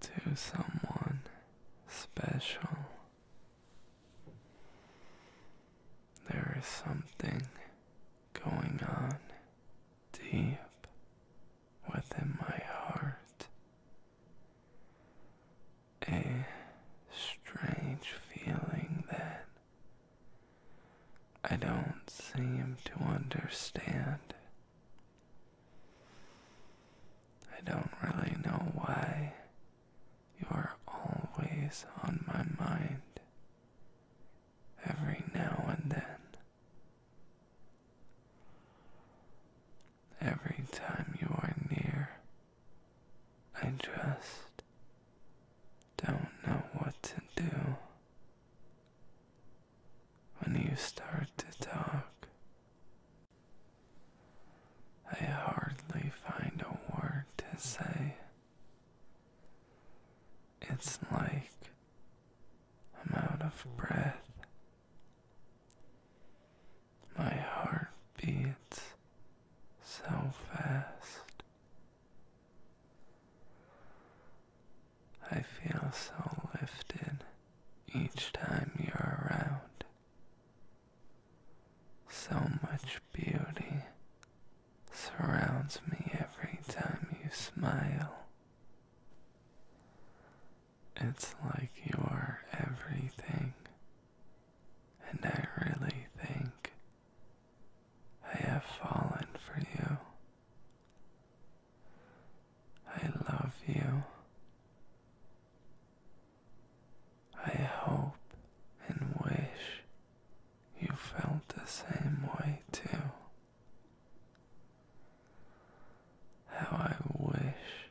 to someone special. There is something going on deep within my heart. A strange feeling that I don't seem to understand I don't really know why you are always on my mind every now and then. Every time you are near, I just don't know what to do when you start to talk. I hardly find a word to say. It's like I'm out of breath. My heart beats so fast. I feel so lifted each time you're around. So much beauty surrounds me every time you smile. It's like you're everything, and I really think I have fallen for you. I love you. I hope and wish you felt the same way too. How I wish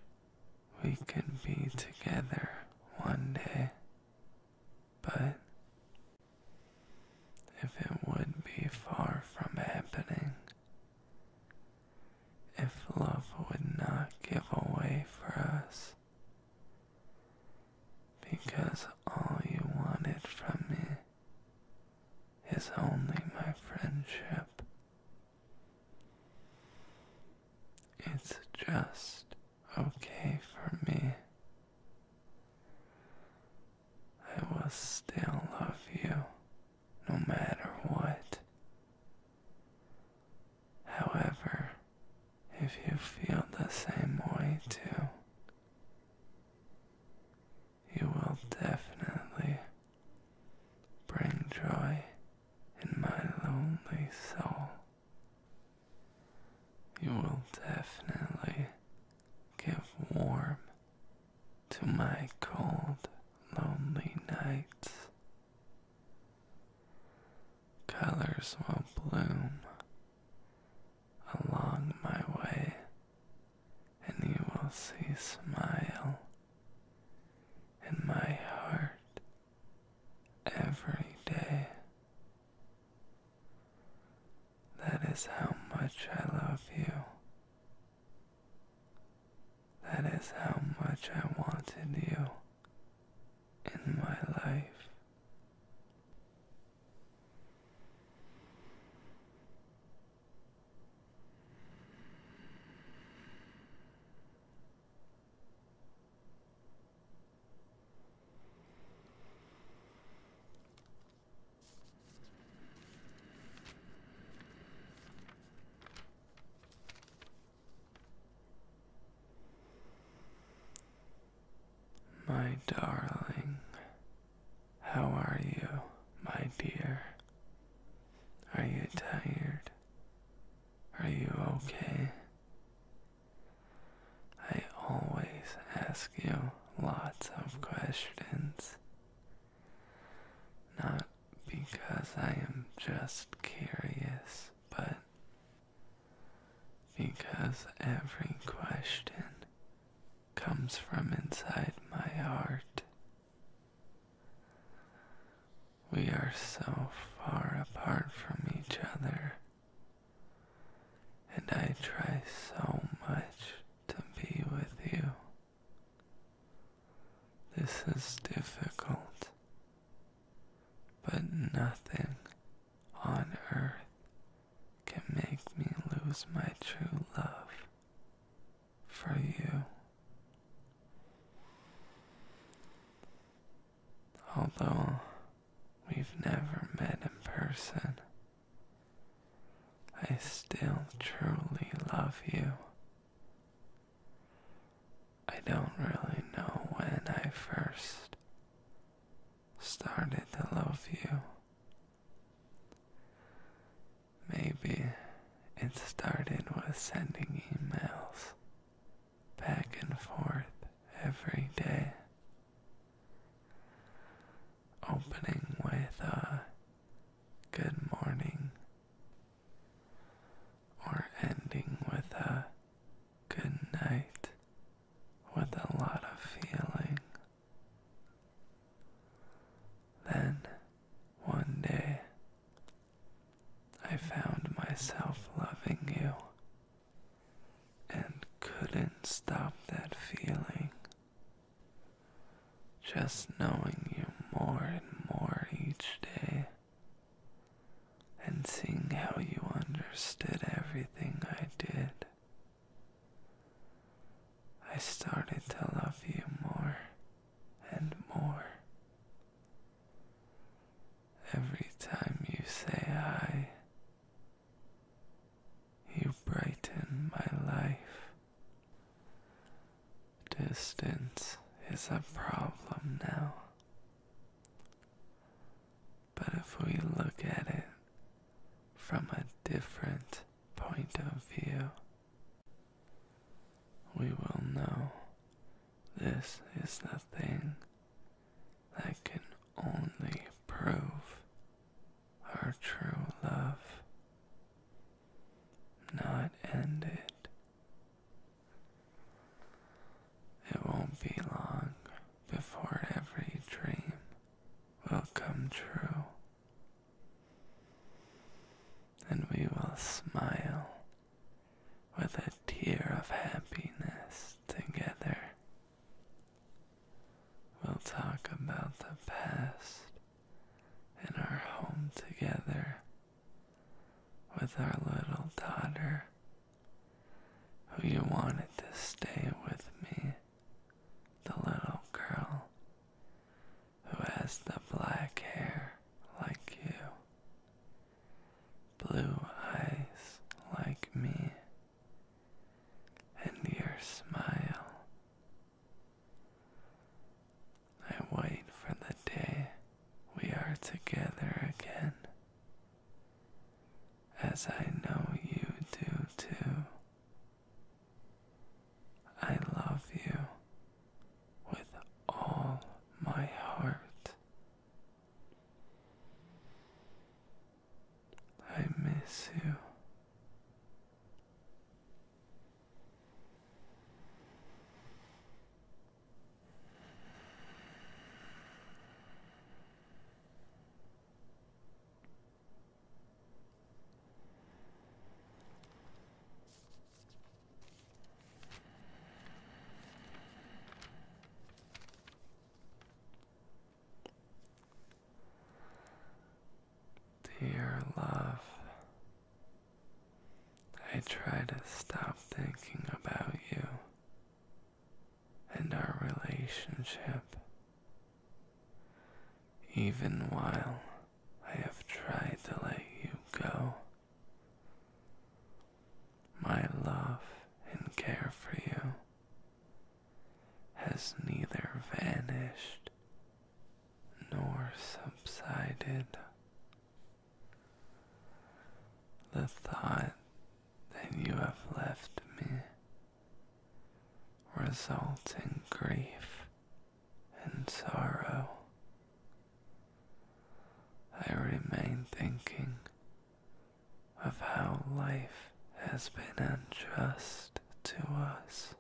we could be together one day, but if it would be far from happening, if love would not give away for us, because all you wanted from me is only my friendship. It's just okay for me. I will still love you no matter what. However, if you feel the same way too, you will definitely bring joy in my lonely soul. You will definitely give warmth to my cold, lonely nights. Colors will bloom along my way, and you will see smile in my heart every day. That is how much I love you. That is how much I wanted you in my life. My darling, how are you, my dear? Are you tired? Are you okay? I always ask you lots of questions. Not because I am just curious, but because every question comes from inside my heart. We are so far apart from each other and I try so much to be with you. This is difficult, but nothing on earth can make me lose my true love for you. Although we've never met in person, I still truly love you. I don't really know when I first started to love you. Maybe it started with sending emails back and forth every day. Opening with a good morning, or ending with a good night with a lot of feeling. Then, one day, I found myself loving you and couldn't stop that feeling. Just knowing you more and more each day and seeing how you understood everything I did, I started to love you more and more. Every time you say hi, you brighten my life. Distance is a problem now. But if we look at it from a different point of view, we will know this is the thing that can only prove our true love, not end It won't be long before every dream will come true, and we will smile with a tear of happiness together. We'll talk about the past and our home together with our little daughter who you wanted to stay with me, the little girl who has the black hair like you, blue eyes like me and your smile. I wait for the day we are together again, as I know you do too. I love you with all my heart. I miss you. Dear love, I try to stop thinking about you and our relationship, even while I have tried to let you go. My love and care for you has neither vanished nor subsided. The thought that you have left me results in grief and sorrow. I remain thinking of how life has been unjust to us,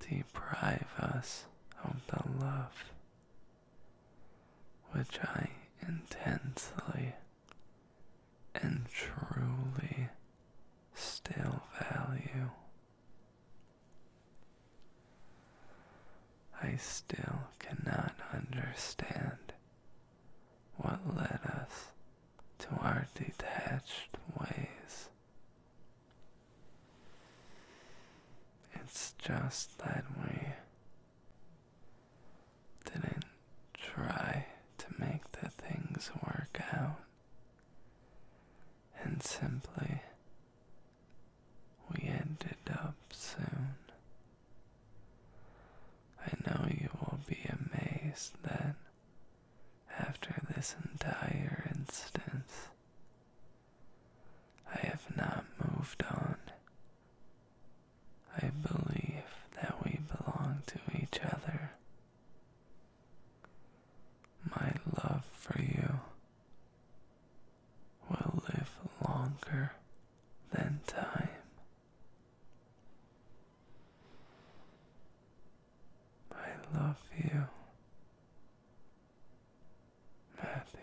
deprive us of the love which I intensely and truly still value. I still cannot understand what led us to our detached ways. It's just that we didn't try to make the things work out and simply we ended up soon. I know you will be amazed that after this entire instance, I have not moved on. I believe that we belong to each other. My love for you will live longer than time. I love you, Matthew.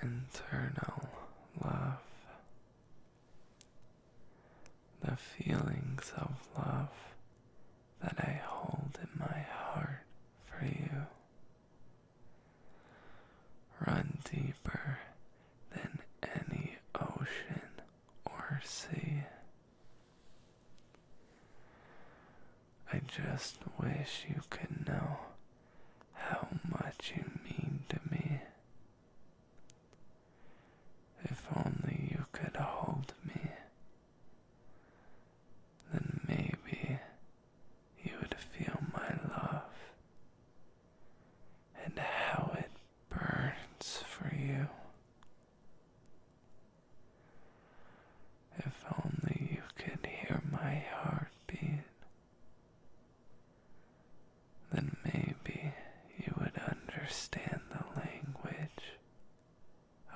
Internal love. The feelings of love that I hold in my heart for you Run deeper than any ocean or sea. I just wish you could know how much you mean to me. If only you could hold me, then maybe you would feel my love and how it burns for you. If only you could hear my heartbeat, then maybe you would understand the language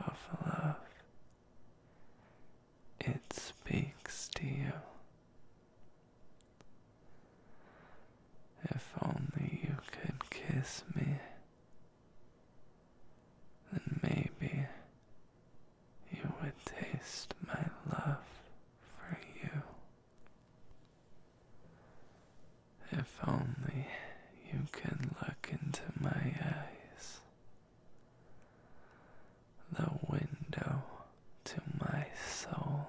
of love. It speaks to you. If only you could kiss me, then maybe you would taste my love for you. If only you could look into my eyes, the window to my soul.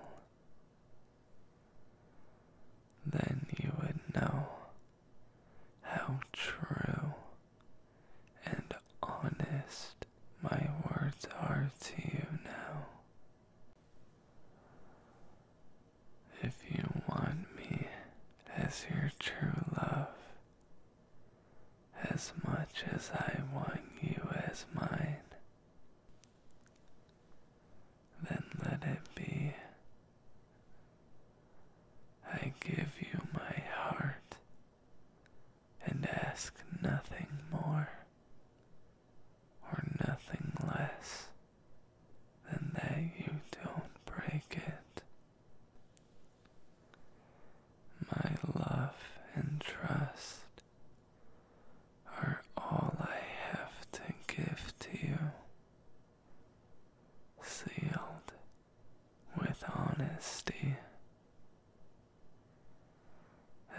Then you would know how true and honest my words are to you now. If you want me as your true love, as much as I want you as mine, then let it be. I give you my heart and ask nothing more or nothing less than that you don't break it. My love and trust are all I have to give to you, sealed with honesty.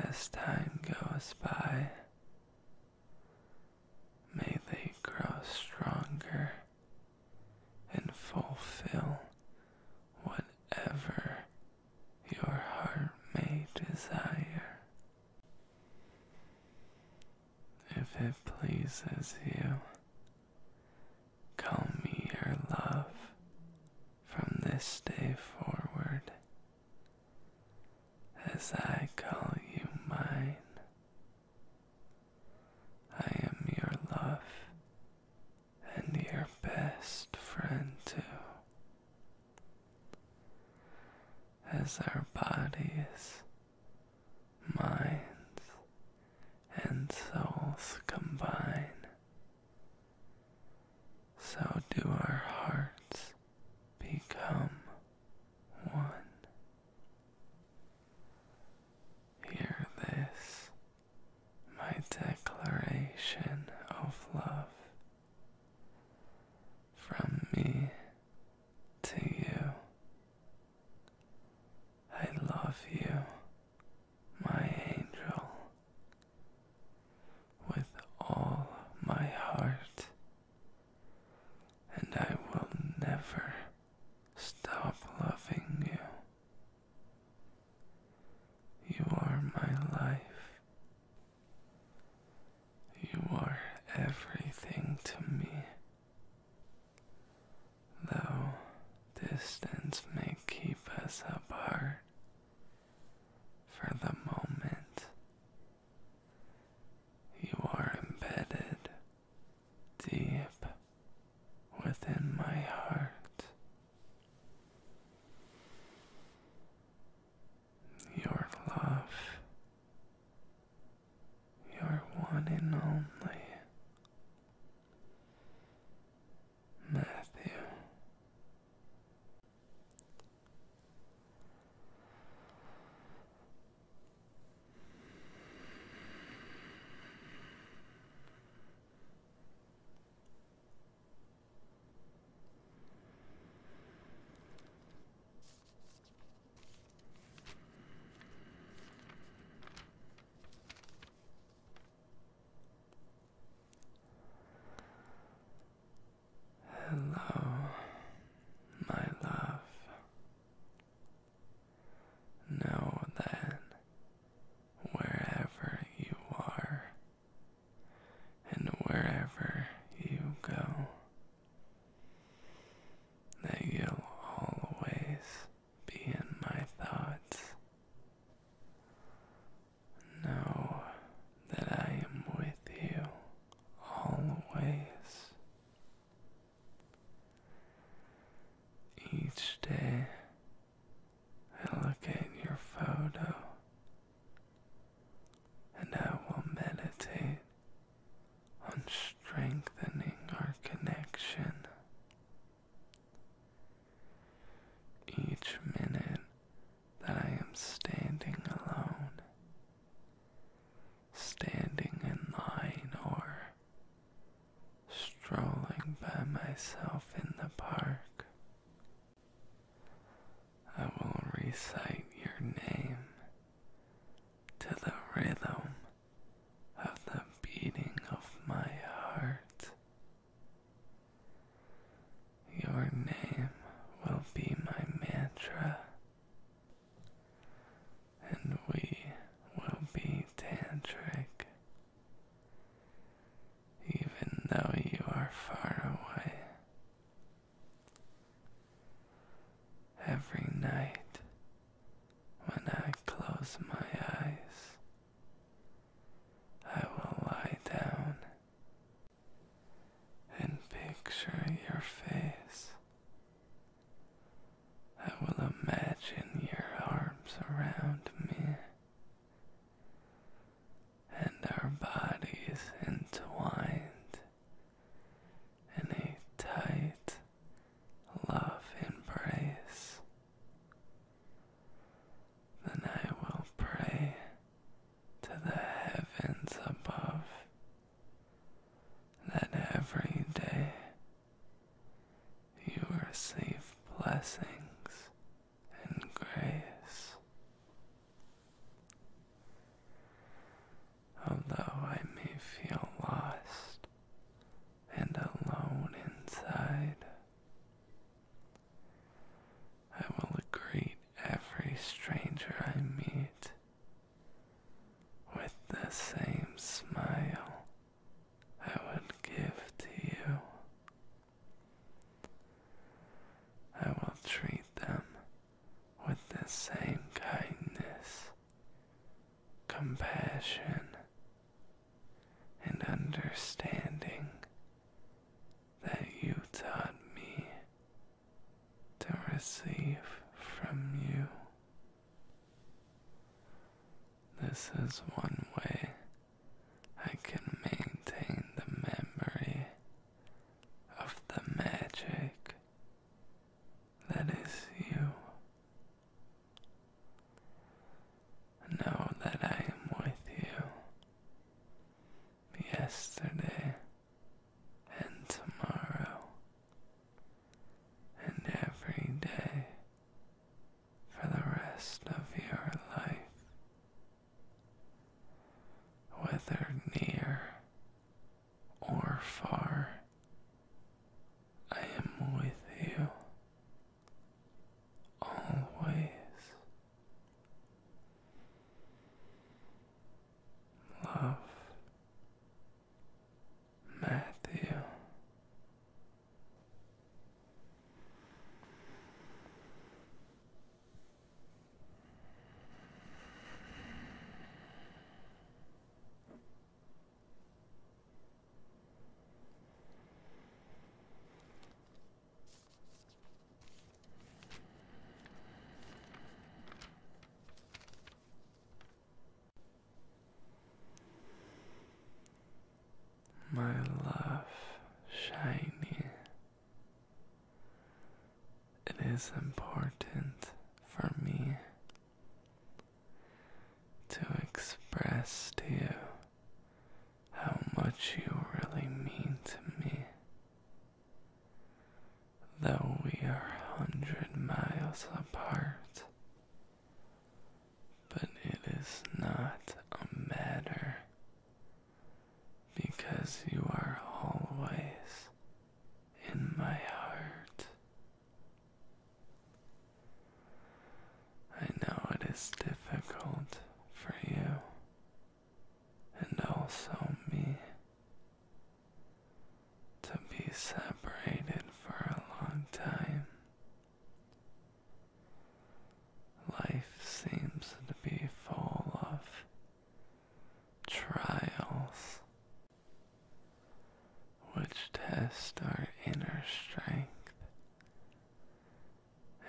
As time goes by, May they grow stronger and fulfill whatever your heart may desire. If it pleases you, call me your love from this day forward, as I call you mine. I am your love and your best friend, too. As our bodies, minds, and souls combine, so do our hearts become one. Hear this, my declaration of love from me to you. I love you, my angel, with all my heart, and I will never Stop loving you. You are my life. You are everything to me. Though distance may keep us apart for the moment, you are embedded deep within my heart. Your love, your one and only Matthew. Hello, my love. Know then, wherever you are and wherever you go, that you'll always be in my thoughts. Know that I am with you always. Each day, I look at your photo and I will meditate on strengthening our connection. Each minute that I am standing alone, standing in line or strolling by myself in the park. I will recite your name to the rhythm of the beating of my heart. Your name will be my mantra and we will be tantric. Even though you are far away, every night when I close my eyes, I will lie down and picture your face I will imagine your arms around me and our bodies entwined in a tight love embrace. Then I will pray to the heavens above that every day you receive blessings and grace. Although I may feel lost and alone inside, I will greet every stranger I meet with the same smile I would give to you. I will treat them with the same kindness, compassion, and understanding that you taught me to receive from you. This is one way I can maintain the memory of the magic that is you. Know that I am with you. Yesterday and tomorrow and every day for the rest of your life. Whether near or far, I am with you always. Love Matthew. My love, shiny. It is important for me to express to you how much you really mean to me. Though we are a hundred miles apart, but it is not a matter because you are always in my heart. I know it is difficult for you and also me to be separated for a long time. Life seems to be full of trials which test our inner strength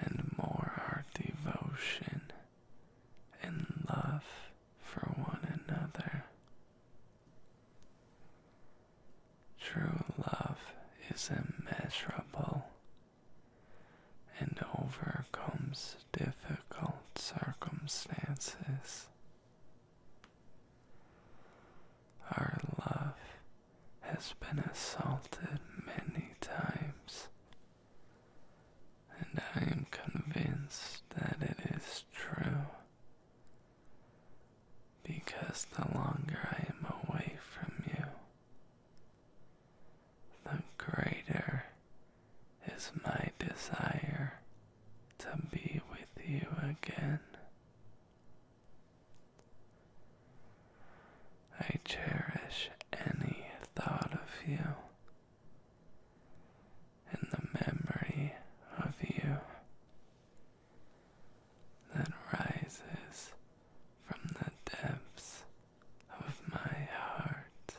and more our devotion and love for one another. True love is immeasurable and overcomes difficult circumstances. Our love has been assaulted many times and I am convinced that it is true. Because the longer I am away from you, the greater is my desire to be with you again. I cherish any thought of you in the memory of you that rises from the depths of my heart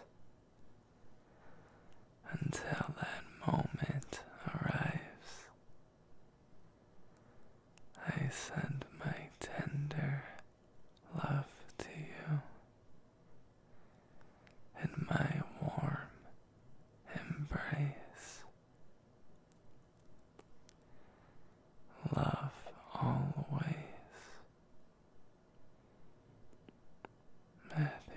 until that moment arrives. I send my tender love to you in my warm embrace. Love always. Matthew.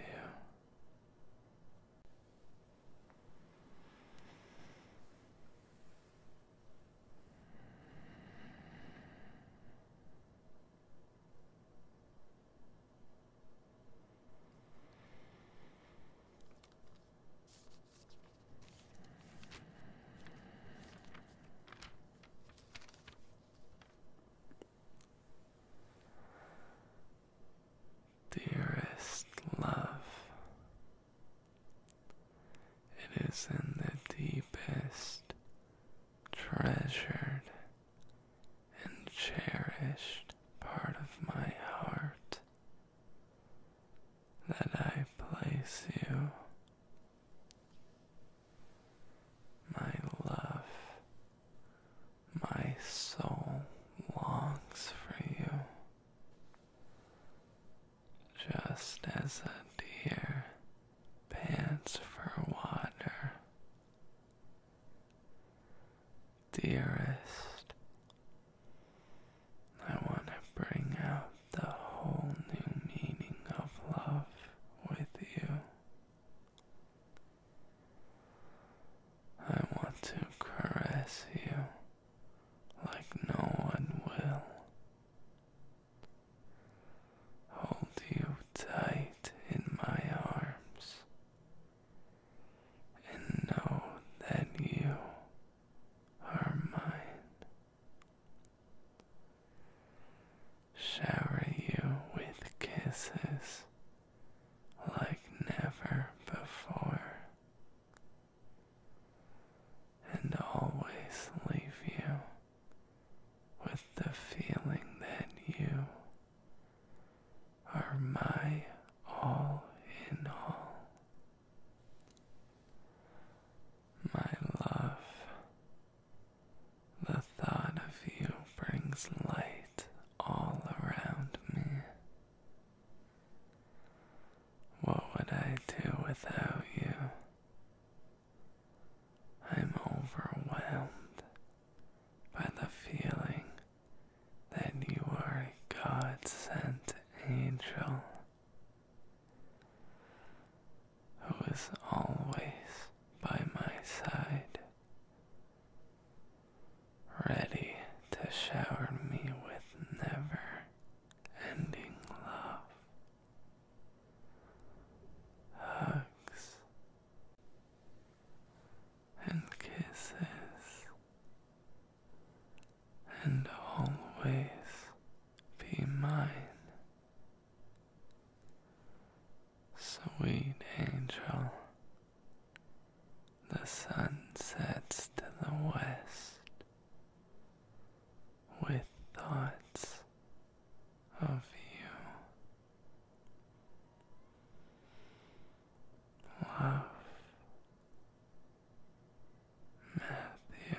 Dearest love, it is in the deepest treasured and cherished part of my heart that I place you. My love, my soul longs for you. Just as a dear pants for water. Dearest, I want to bring out the whole new meaning of love with you. I want to caress you like no one will. Hold you tight in my arms and know that you are mine. Shower you with kisses like never before, and always leave you with the feeling that you are my all in all. My love, the thought of you brings light all around me. What would I do without you? I'm overwhelmed by the feeling that you are a God sent angel who is always by my side, ready to shower me with never ending love hugs, and kisses, and always be mine. Sweet angel, the sun sets to the west with thoughts of you. Love Matthew.